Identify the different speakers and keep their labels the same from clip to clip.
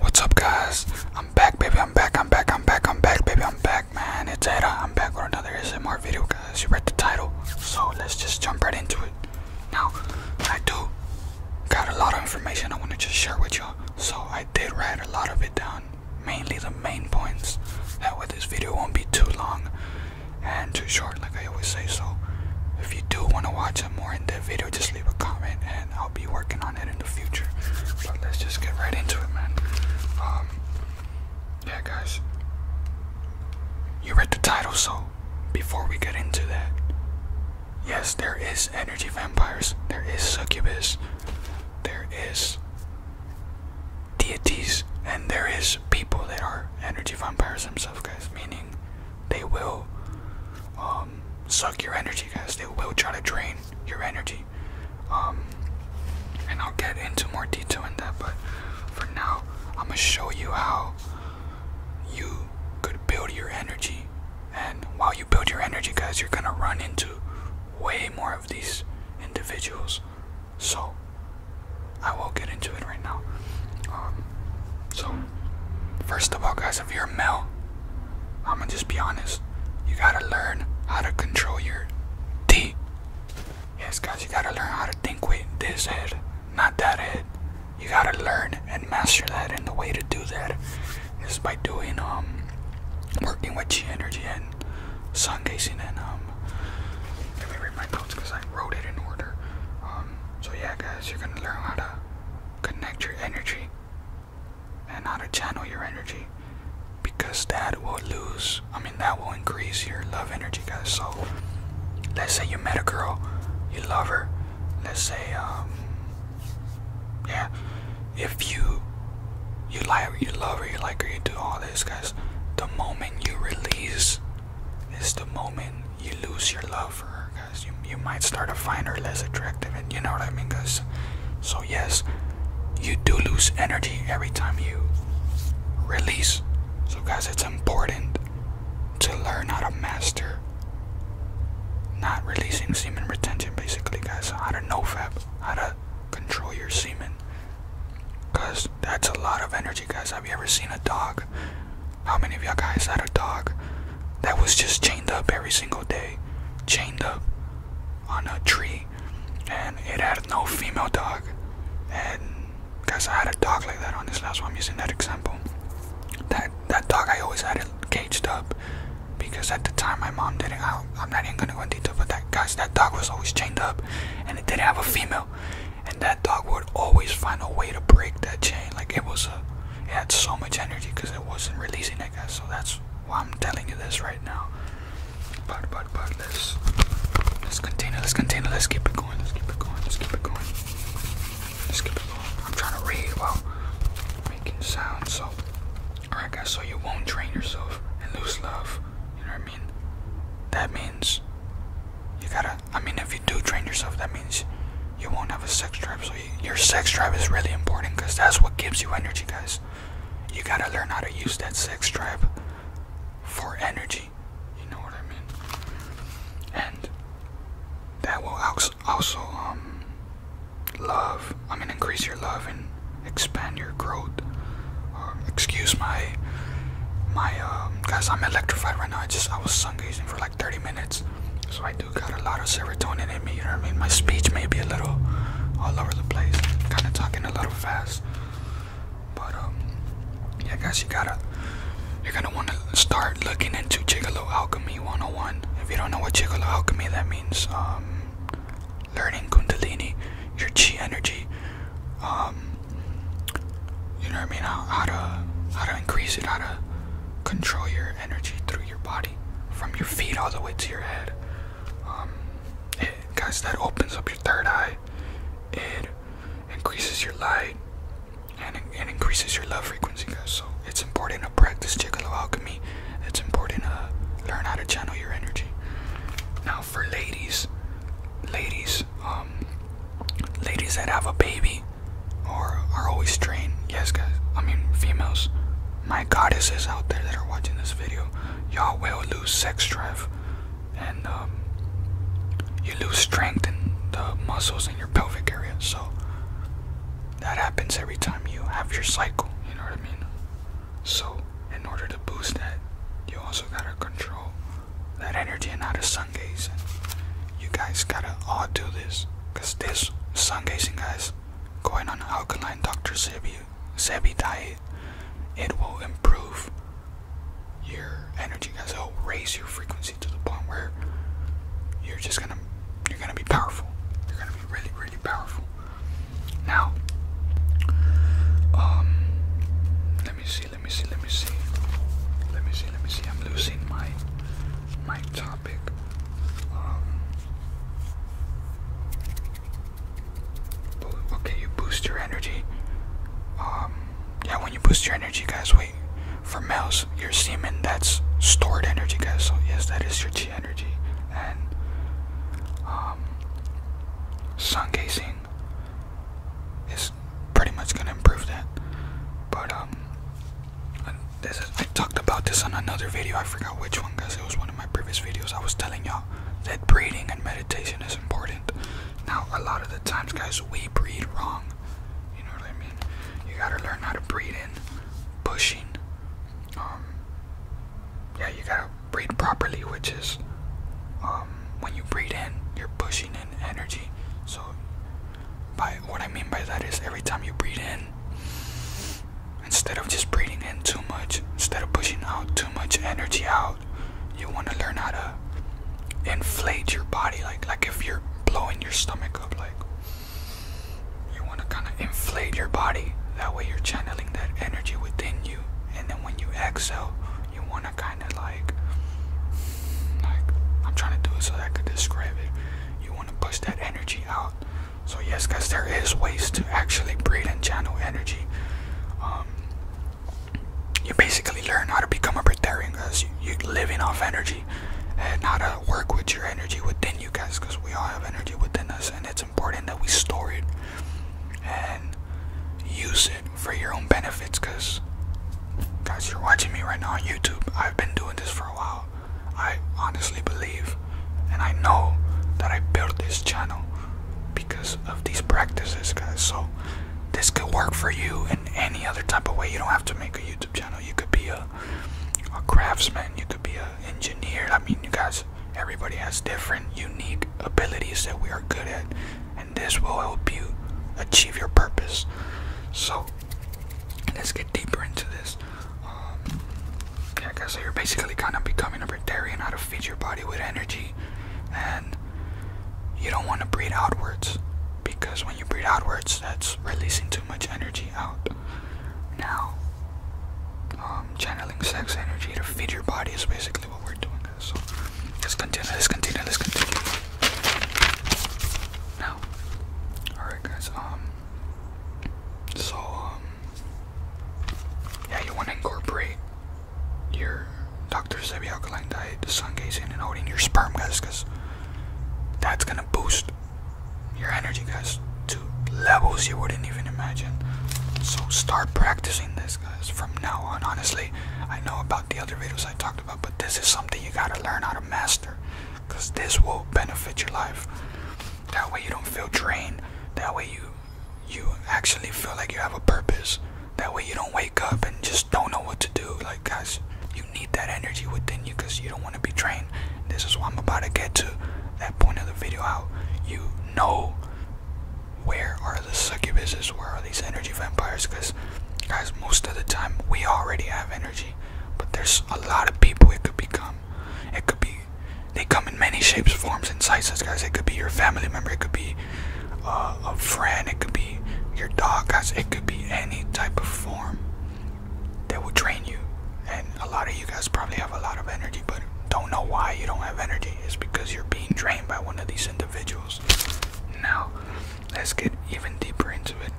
Speaker 1: What's up, guys? I'm back, baby. I'm back. I'm back. I'm back. I'm back, baby. I'm back, man. It's Ada. I'm back with another SMR video, guys. You read the title, so let's just jump right into it. Now, I do got a lot of information I want to just share with y'all, so I did write a lot of it down, mainly the main points. That way, this video won't be too long and too short, like I always say. So, if you do want to watch a more in depth video, just leave a comment and I'll be working on it in the future. But let's just get right into it, man. Um, yeah, guys, you read the title, so before we get into that, yes, there is energy vampires, there is succubus, there is deities, and there is people that are energy vampires themselves, guys, meaning they will um, suck your energy, guys. They will try to drain your energy. Um, and I'll get into more detail in that, but for now, I'm gonna show you how you could build your energy. And while you build your energy, guys, you're gonna run into way more of these individuals. So, I will get into it right now. Um, so, first of all, guys, if you're a male, I'm gonna just be honest. You gotta learn how to control your T. Yes, guys, you gotta learn how to think with this head, not that head. You gotta learn and master that, and the way to do that is by doing um, working with chi energy and sun gazing and um. Let me read my notes because I wrote it in order. Um, so, yeah, guys, you're gonna learn how to connect your energy and how to channel your energy because that will lose, I mean, that will increase your love energy, guys. So, let's say you met a girl, you love her, let's say, um, yeah, if you you like you love her, you like her, you do all this, guys. The moment you release is the moment you lose your love for her, guys. You, you might start to find her less attractive, and you know what I mean, guys. So, yes, you do lose energy every time you release. So, guys, it's important to learn how to master not releasing semen retention, basically, guys. How to nofap, how to control your semen. Because that's a lot of energy, guys. Have you ever seen a dog how many of y'all guys had a dog that was just chained up every single day? Chained up on a tree and it had no female dog. And guys, I had a dog like that, on this last one, I'm using that example. That that dog I always had it caged up because at the time my mom didn't. I, I'm not even gonna go into detail, but that guys, that dog was always chained up and it didn't have a female and that dog would always find a way to break that chain like it was a it had so much energy because it wasn't releasing that guy. so that's why i'm telling you this right now but but but let's let's continue let's continue let's keep it going let's keep it going let's keep it going let's keep it going i'm trying to read while making sounds so all right guys so you won't drain yourself and lose love you know what i mean that means you gotta I mean, if you do train yourself, that means you won't have a sex drive. So your sex drive is really important because that's what gives you energy, guys. You gotta learn how to use that sex drive for energy. You know what I mean? And that will also um love. I mean, increase your love and expand your growth. Uh, excuse my my um, guys i'm electrified right now i just i was sun for like 30 minutes so i do got a lot of serotonin in me you know what i mean my speech may be a little all over the place kind of talking a little fast but um yeah guys you gotta you're gonna want to start looking into gigolo alchemy 101 if you don't know what gigolo alchemy that means um learning kundalini your chi energy um, you know what I mean, how, to how to increase it, how to control your energy through your body, from your feet all the way to your head. Um, guys, that opens up your third eye. It increases your light and it increases your love frequency, guys. So it's important to practice Gigolo alchemy. It's important to learn how to channel your energy. Now for ladies, ladies, um, ladies that have a baby or are always strained. Yes, guys. I mean, females. My goddesses out there that are watching this video, y'all will lose sex drive, and um, you lose strength in the muscles in your pelvic area. So that happens every time you have your cycle. You know what I mean? So in order to boost that, you also gotta control that energy and not a sun gaze. You guys gotta all do this, cause this sun gazing guys going on alkaline Dr. Sebi Sebi diet, it will improve your energy guys. It'll raise your frequency to the point where you're just gonna you're gonna be powerful. You're gonna be really really powerful. Now, um, let me see let me see, let me see. Let me see, let me see. I'm losing my my topic. Um, okay, you boost your energy. Um, yeah, when you boost your energy, guys, wait. For males, your semen, that's stored energy, guys. So, yes, that is your chi energy. And, um, sun gazing is pretty much gonna improve that. But um, this is, I talked about this on another video. I forgot which one, guys. It was one of my previous videos. I was telling y'all that breathing and meditation is important. Now, a lot of the times, guys, we breathe wrong. You know what I mean? You gotta learn how to breathe in, pushing. Um, yeah, you gotta breathe properly, which is um, um, when you breathe in, you're pushing in energy. So, by what I mean by that is every time you breathe in, instead of just breathing in too much, instead of pushing out too much energy out, you want to learn how to inflate your body. Like, like if you're blowing your stomach up, like you want to kind of inflate your body. That way, you're channeling that energy within you, and then when you exhale, you want to kind like, I'm trying to do it so I could describe it. You want to push that energy out. So yes, guys, there is ways to actually breathe and channel energy. Um, you basically learn how to become a breatharian, guys. You, are living off energy and how to work with your energy within you guys, because we all have energy within us, and it's important that we store it and use it for your own benefits because guys you're watching me right now on youtube i've been doing this for a while i honestly believe and i know that i built this channel because of these practices guys so this could work for you in any other type of way you don't have to make a youtube channel you could be a, a craftsman you could be an engineer i mean you guys everybody has different unique abilities that we are good at this will help you achieve your purpose. So, let's get deeper into this. Um, yeah, guys, so you're basically kind of becoming a vegetarian how to feed your body with energy, and you don't want to breathe outwards because when you breathe outwards, that's releasing too much energy out. Now, um, channeling sex energy to feed your body is basically what we're doing. So let's continue, let's continue, let's continue. Now, alright guys, um so um yeah you wanna incorporate your Dr. Sebi alkaline diet, the sun gazing and holding your sperm guys cause that's gonna boost your energy guys to levels you wouldn't even imagine. So start practicing this guys. From now on, honestly, I know about the other videos I talked about, but this is something you gotta learn how to master because this will benefit your life. That way, you don't feel drained. That way, you you actually feel like you have a purpose. That way, you don't wake up and just don't know what to do. Like, guys, you need that energy within you because you don't want to be drained. This is what I'm about to get to. That point of the video, how you know where are the succubuses? Where are these energy vampires? Because, guys, most of the time we already have energy, but there's a lot of people it could become. It could be, they come in many shapes, forms, and sizes, guys. It could be your family member, it could be uh, a friend, it could be your dog, guys. It could be any type of form that will drain you. And a lot of you guys probably have a lot of energy, but don't know why you don't have energy. It's because you're being drained by one of these individuals. Now, let's get even deeper into it.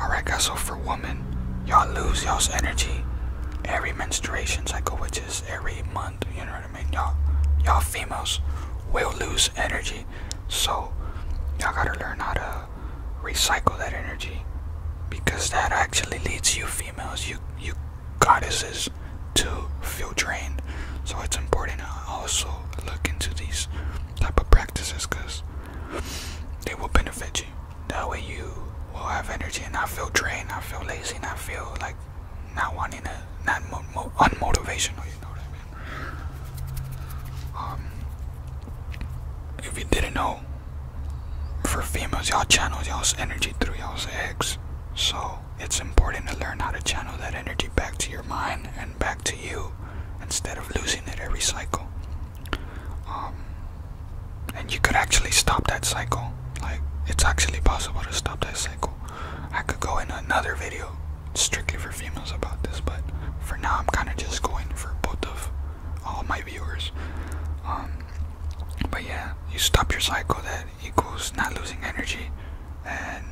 Speaker 1: Alright, guys, so for women, y'all lose y'all's energy every menstruation cycle, which is every month, you know what I mean? Y'all, y'all females will lose energy. So, y'all gotta learn how to recycle that energy because that actually leads you females, you, you goddesses to feel drained. So it's important to also look into these type of practices because they will benefit you. That way you will have energy and not feel drained, not feel lazy, not feel like not wanting to, not mo Um, if you didn't know, for females, y'all channels y'all's energy through y'all's eggs. So it's important to learn how to channel that energy back to your mind and back to you instead of losing it every cycle. Um, and you could actually stop that cycle. Like, it's actually possible to stop that cycle. I could go in another video strictly for females about this, but for now, I'm kind of just going for both of all my viewers. Um, but yeah, you stop your cycle that equals not losing energy and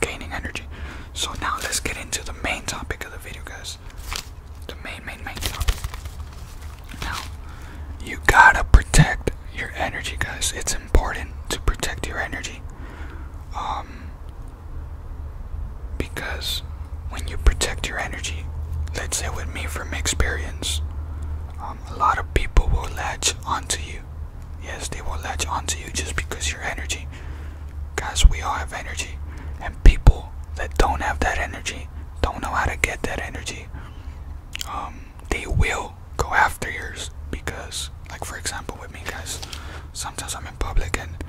Speaker 1: gaining energy. So now let's get into the main topic of the video, guys. The main, main, main topic. Now, you gotta protect your energy, guys. It's important to protect your energy. Um, because when you protect your energy, let's say with me from experience, um, a lot of people will latch onto you Yes, they will latch onto you just because your energy. Guys, we all have energy. And people that don't have that energy, don't know how to get that energy, um, they will go after yours because, like, for example, with me, guys, sometimes I'm in public and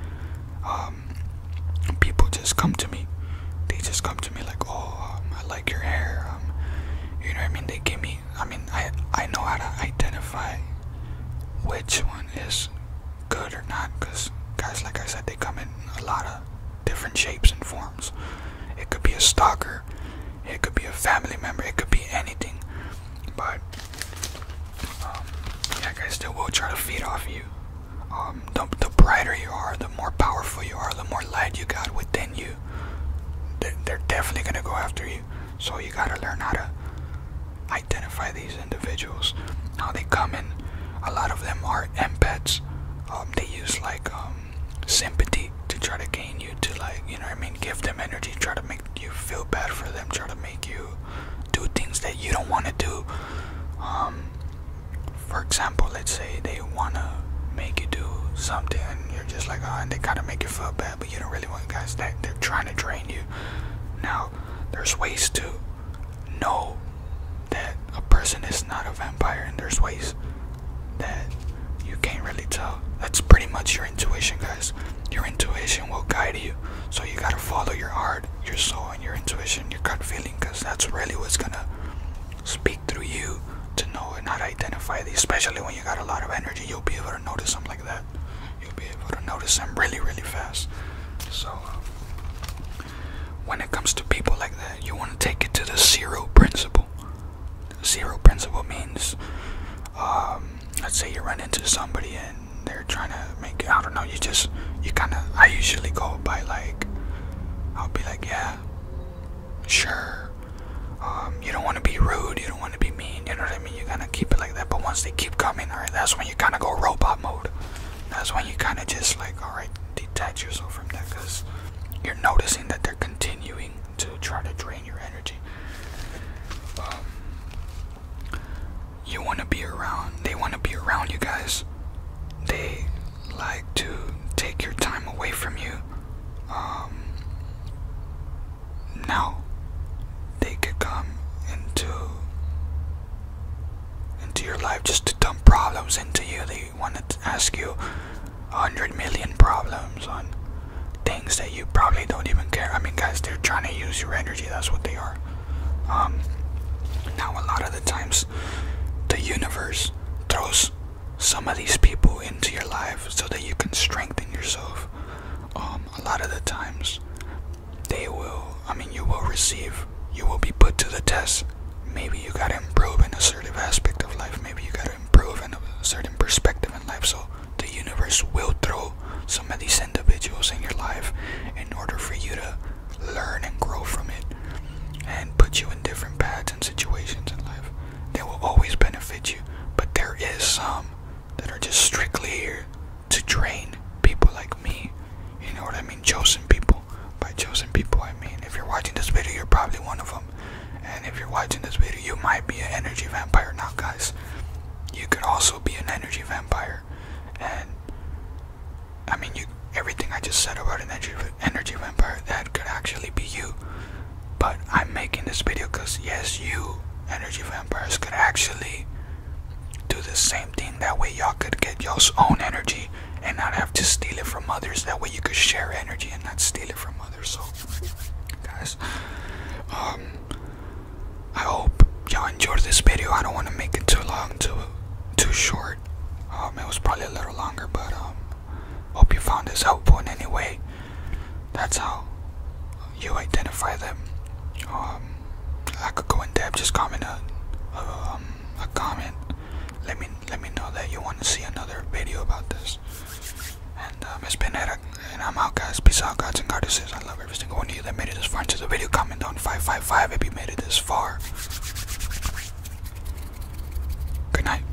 Speaker 1: um, people just come to me. They just come to me like, oh, um, I like your hair. Um, you know what I mean? They give me I mean, I, I know how to identify which one is good or not because guys, like I said, they come in a lot of different shapes and forms. It could be a stalker, it could be a family member, it could be anything. But, um, yeah, guys, still will try to feed off you. Um, the, the brighter you are, the more powerful you are, the more light you got within you. they're definitely gonna go after you. So you gotta learn how to identify these individuals, how they come in. A lot of them are empaths. Um, they use like um, sympathy to try to gain you to like, you know I mean, give them energy, try to make you feel bad for them, try to make you do things that you don't want to do. Um, for example, let's say they wanna make you do something and you're just like, oh, and they gotta make you feel bad, you don't really want guys that they're trying to drain you. Now, there's ways to know that a person is not a vampire, and there's ways that you can't really tell. That's pretty much your intuition, guys. Your intuition will guide you, so you gotta follow your heart, your soul, and your intuition, your gut feeling, because that's really what's gonna speak through you to know and not identify these, especially when you got a lot of energy, you'll be able to notice them like that. You'll be able to notice them really, really fast. So, when it comes to people like that, you want to take it to the zero principle. zero principle means, um, let's say you run into somebody and they're trying to make, I don't know, you just, you kind of, I usually go by like, I'll be like, yeah, sure um, you don't want to be rude you don't want to be mean you know what i mean you are going to keep it like that but once they keep coming all right that's when you kind of go robot mode that's when you kind of just like all right detach yourself from that because you're noticing that they're continuing to try to drain your energy um, you want to be around they want to be around you guys they like to take your time away from you um, now they could come into into your life just to dump problems into you. They want to ask you a hundred million problems on things that you probably don't even care. I mean, guys, they're trying to use your energy. That's what they are. Um, now, a lot of the times, the universe throws some of these people into your life so that you can strengthen yourself. Um, a lot of the times, they will, I mean, you will receive, you will be put to the test. Maybe you gotta improve an assertive aspect of life, maybe you gotta improve in a certain perspective in life. So, the universe will throw some of these individuals in your life in order for you to learn and grow from it and put you in different paths and situations in life they will always benefit you, but there is some that are just strictly here to drain people like me. You know what I mean? Chosen people. By chosen people, I mean if you're watching this video, you're probably one of them. And if you're watching this video, you might be an energy vampire. Now, guys, you could also be an energy vampire. And I mean, everything I just said about an energy, energy vampire that could actually be you. But I'm making this video because, yes, you energy vampires could actually do the same thing. That way, y'all could get you own energy and not have to steal it from others. That way, you could share energy and not steal it from others. So, guys, um, I hope y'all enjoyed this video. I don't want to make it too long, too, too short. Um, it was probably a little longer, but um, Hope you found this helpful in any way. That's how you identify them. Um, I could go in depth. Just comment a, um, comment. Let me let me know that you want to see another video about this. And um, uh, it's and I'm out, guys. Peace out, gods and goddesses. I love every single one of you that made it this far to the video. Comment down 555 if you made it this far. Good night.